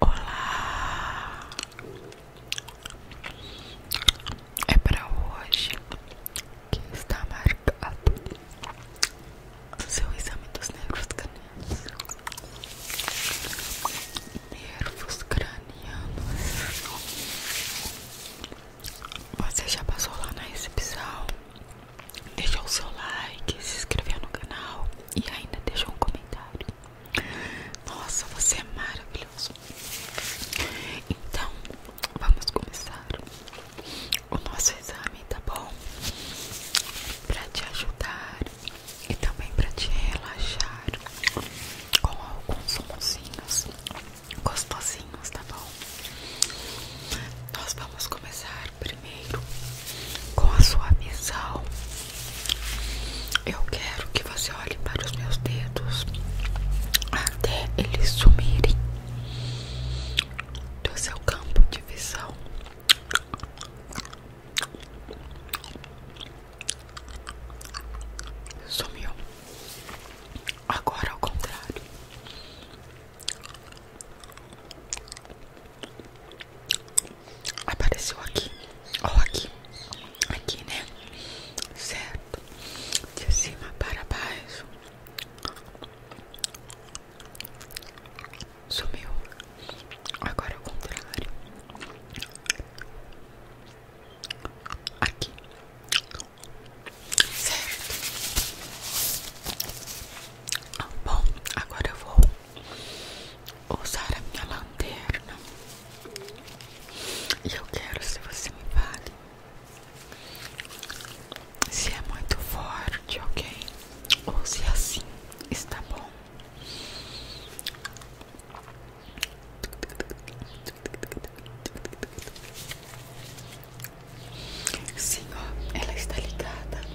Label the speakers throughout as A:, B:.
A: Olá! É para hoje que está marcado o seu exame dos nervos cranianos. Nervos cranianos. Você já passou lá na recepção? Deixa o seu like, se inscreveu no canal e ainda deixa um comentário. Nossa, você é maravilhoso. Então, vamos começar o nosso exame, tá bom? Pra te ajudar e também pra te relaxar com alguns sonzinhos gostosinhos, tá bom? Nós vamos começar primeiro com a sua visão. Eu quero que você olhe para os meus dedos até eles sumirem do seu campo de visão. Sumiu. Agora ao contrário. Apareceu aqui, ó, aqui, aqui, né? Certo, de cima para baixo, sumiu. Agora é o contrário, aqui, certo. Bom, agora eu vou usar a minha lanterna e eu quero se você me vale se é muito forte, ok? Ou se é assim está bom. Sim, ó, ela está ligada.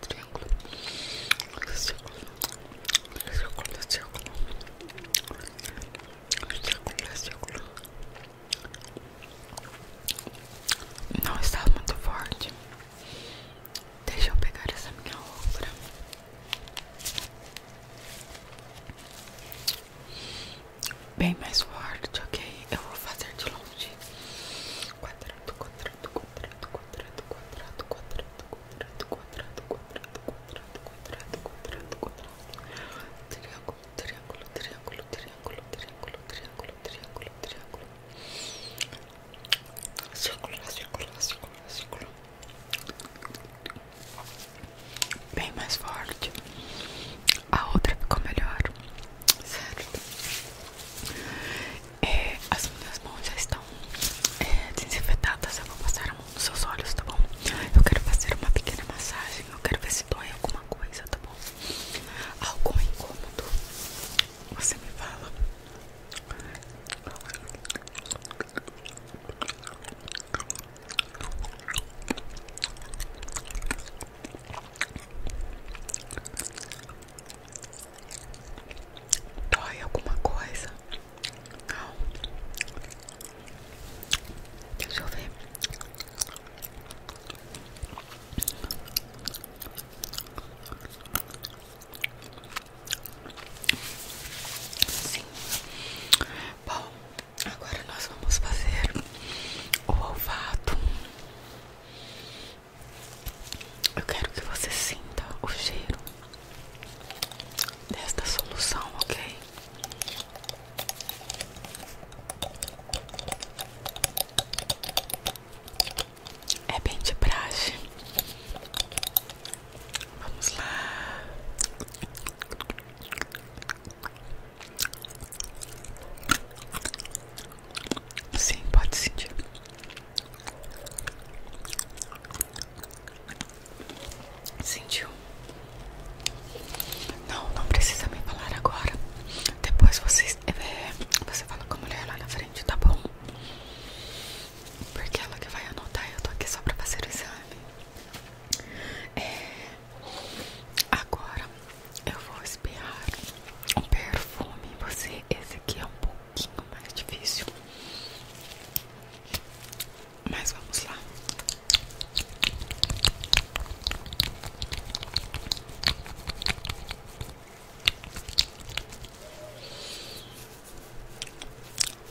A: triângulo, triângulo, círculo, círculo, círculo, círculo, círculo. Não está muito forte. Deixa eu pegar essa minha obra Bem mais forte, ok? Eu vou fazer de longe. Quadrado, quadrado, quadrado quadrado, quadrado, quadrado, quadrado, quadrado, quadrado, quadrado, quadrado, quadrado, quadrado, quadrado, triângulo, triângulo, triângulo, triângulo, triângulo, triângulo, triângulo, triângulo, círculo, círculo, círculo, círculo, bem mais forte. A outra ficou melhor, certo? É, as minhas mãos já estão é, desinfetadas. Eu vou passar a mão nos seus olhos, tá bom? Eu quero fazer uma pequena massagem. Eu quero ver se dói alguma coisa, tá bom? Algum incômodo? Você me fala. Dói alguma coisa? Deixa eu ver. Bom, agora nós vamos fazer o olfato. Eu quero que você sinta o cheiro desta solução, ok? É bem de praxe. Vamos lá. Sim, pode sentir. Sentiu? Não, não precisa me falar agora. Depois você, é, você fala com a mulher lá na frente, tá bom? Porque ela que vai anotar eu tô aqui só pra fazer o exame. É, agora eu vou espiar um perfume. Você, esse aqui é um pouco mais difícil. Mas vamos lá.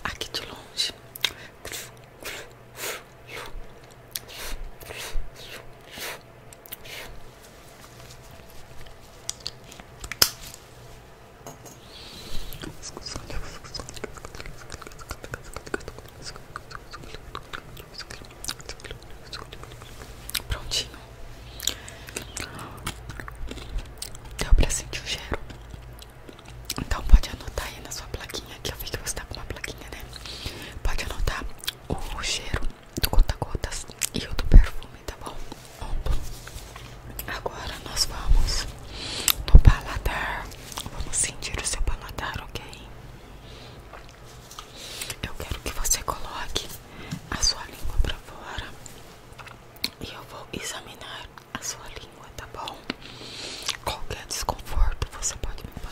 A: Aqui de longe. Prontinho. Deu pra sentir o cheiro. Então pode anotar aí na sua plaquinha, que eu vi que você tá com uma plaquinha, né? Pode anotar o cheiro do conta-gotas e o do perfume tá bom? Pronto. Agora nós vamos no paladar. Vamos sentir o seu paladar, ok? Eu quero que você coloque a sua língua pra fora e eu vou examinar a sua língua, tá bom? Qualquer desconforto você pode me falar.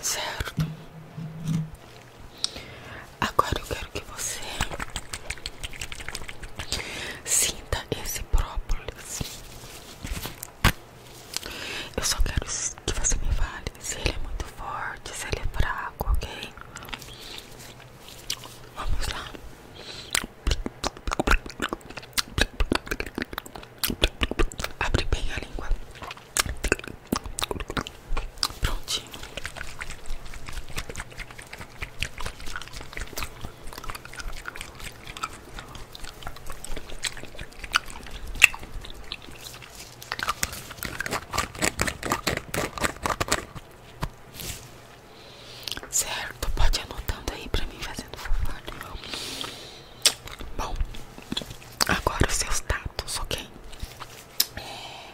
A: Certo? Agora eu quero que você sinta esse própolis. Eu só quero que você me fale se ele é muito forte, se ele é fraco, ok? Vamos lá. Abre bem a língua. Prontinho. Certo, pode anotando aí para mim fazendo favor. Bom, agora os seus dados, ok? É,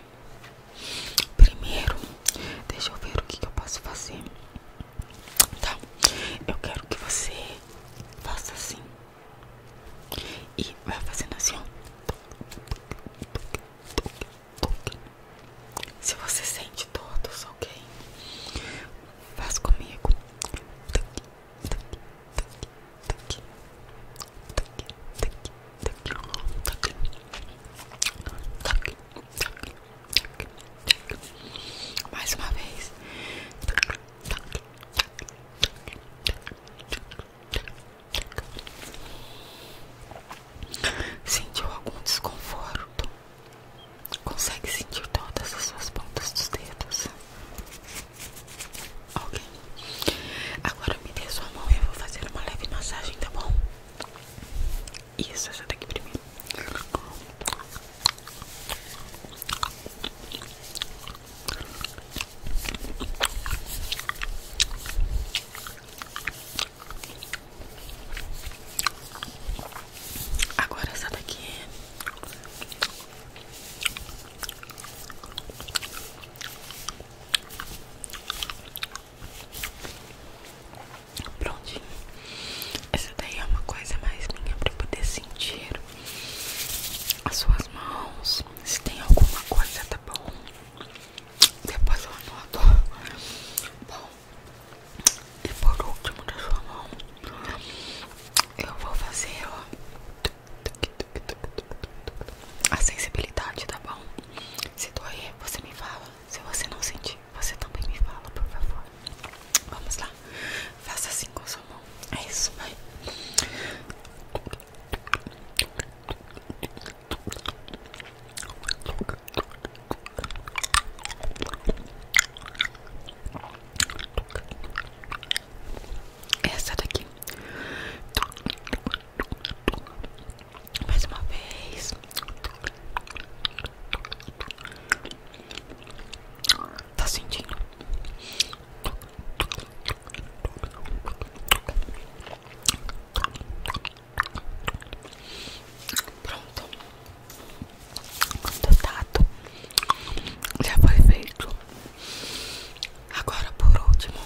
A: primeiro, deixa eu ver o que, eu posso fazer. Então, eu quero que você faça assim. E vai fazendo assim, ó. Se você sente todos, ok? Faz comigo. Mais uma vez. Sentiu algum desconforto? Consegue sentir todas as suas pontas dos dedos? Ok. Agora me dê sua mão e eu vou fazer uma leve massagem, tá bom? Isso, essa daqui primeiro. Agora essa daqui é Prontinho. Essa daí é uma coisa mais minha para poder sentir as suas mãos. Se tem alguma coisa, tá bom? Depois eu anoto. Bom, e por último da sua mão, eu vou fazer, ó. A sensibilidade, tá bom? Se doer, você me fala. Se você não sentir, você também me fala, por favor. Vamos lá. Faça assim com sua mão. É isso, vai. Essa daqui. Mais uma vez. Tá sentindo? Pronto do tato já foi feito. Agora, por último,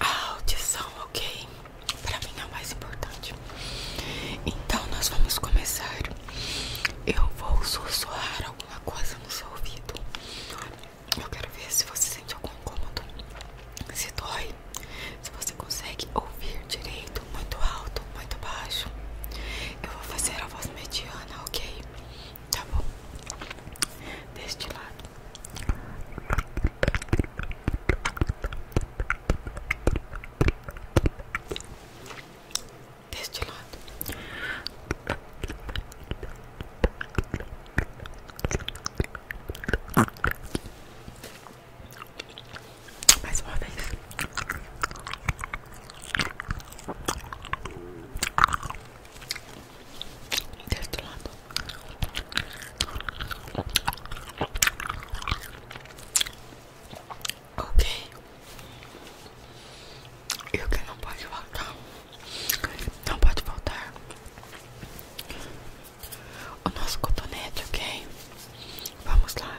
A: a audição, ok? Pra mim é o mais importante. Então, nós vamos começar. Eu vou sussurrar alguma coisa no seu ouvido. Eu quero ver se você sente algum incômodo, se dói, se você consegue ouvir direito, muito alto, muito baixo. Eu vou fazer a voz mediana, ok? Tá bom? Deste lado. Deste lado. Mais uma vez. Deste lado. Ok. E o que não pode voltar Não pode voltar o nosso cotonete, ok? Vamos lá.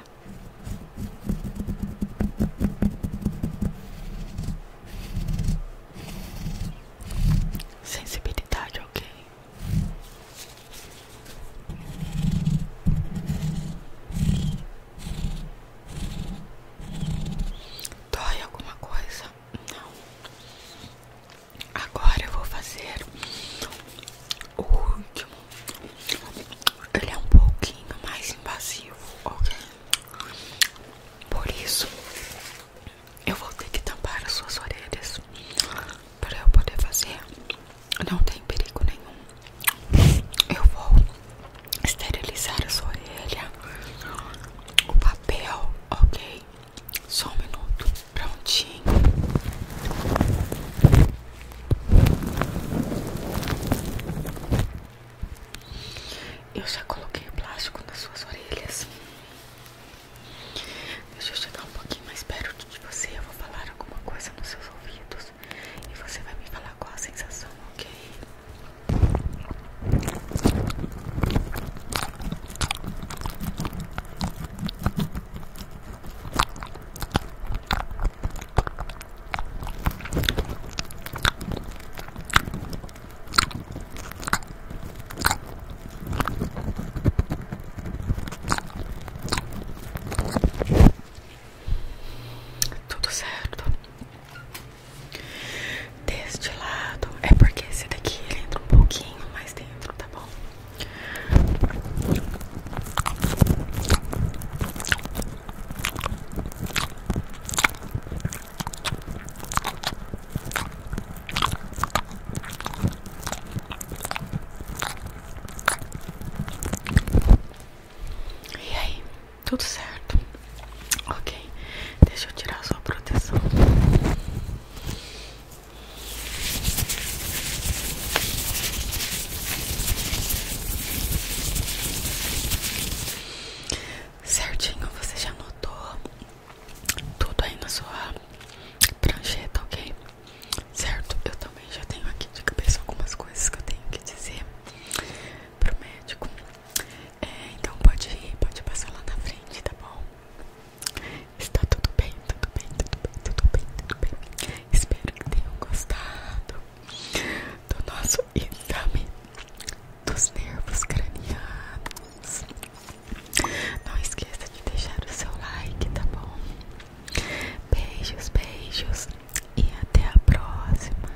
A: Sensibilidade, ok. Dói alguma coisa? Não. Agora eu vou fazer o último ele é um pouquinho mais invasivo, ok? Por isso, eu vou ter que tampar as suas orelhas para eu poder fazer. Não tem perigo nenhum. Eu vou esterilizar a sua orelha, o papel, ok? Só um minuto, prontinho. Eu já coloquei o plástico nas suas orelhas. Deixa eu chegar um pouquinho mais perto de você. Eu vou falar alguma coisa nos seus ouvidos e você vai me falar qual a sensação, ok? Tudo certo Deste lado É porque esse daqui ele entra um pouquinho mais dentro, tá bom? E aí, tudo certo? Ok, deixa eu tirar sua proteção. Certinho, você já anotou tudo aí na sua prancheta, ok? Certo, eu também já tenho aqui de cabeça algumas coisas que eu tenho que dizer pro médico. É, então pode ir, pode passar lá na frente, tá bom? Está tudo bem, tudo bem, tudo bem, tudo bem, tudo bem. Espero que tenham gostado do nosso exame dos nervos cranianos. Não esqueça de deixar o seu like, tá bom? Beijos, beijos e até a próxima.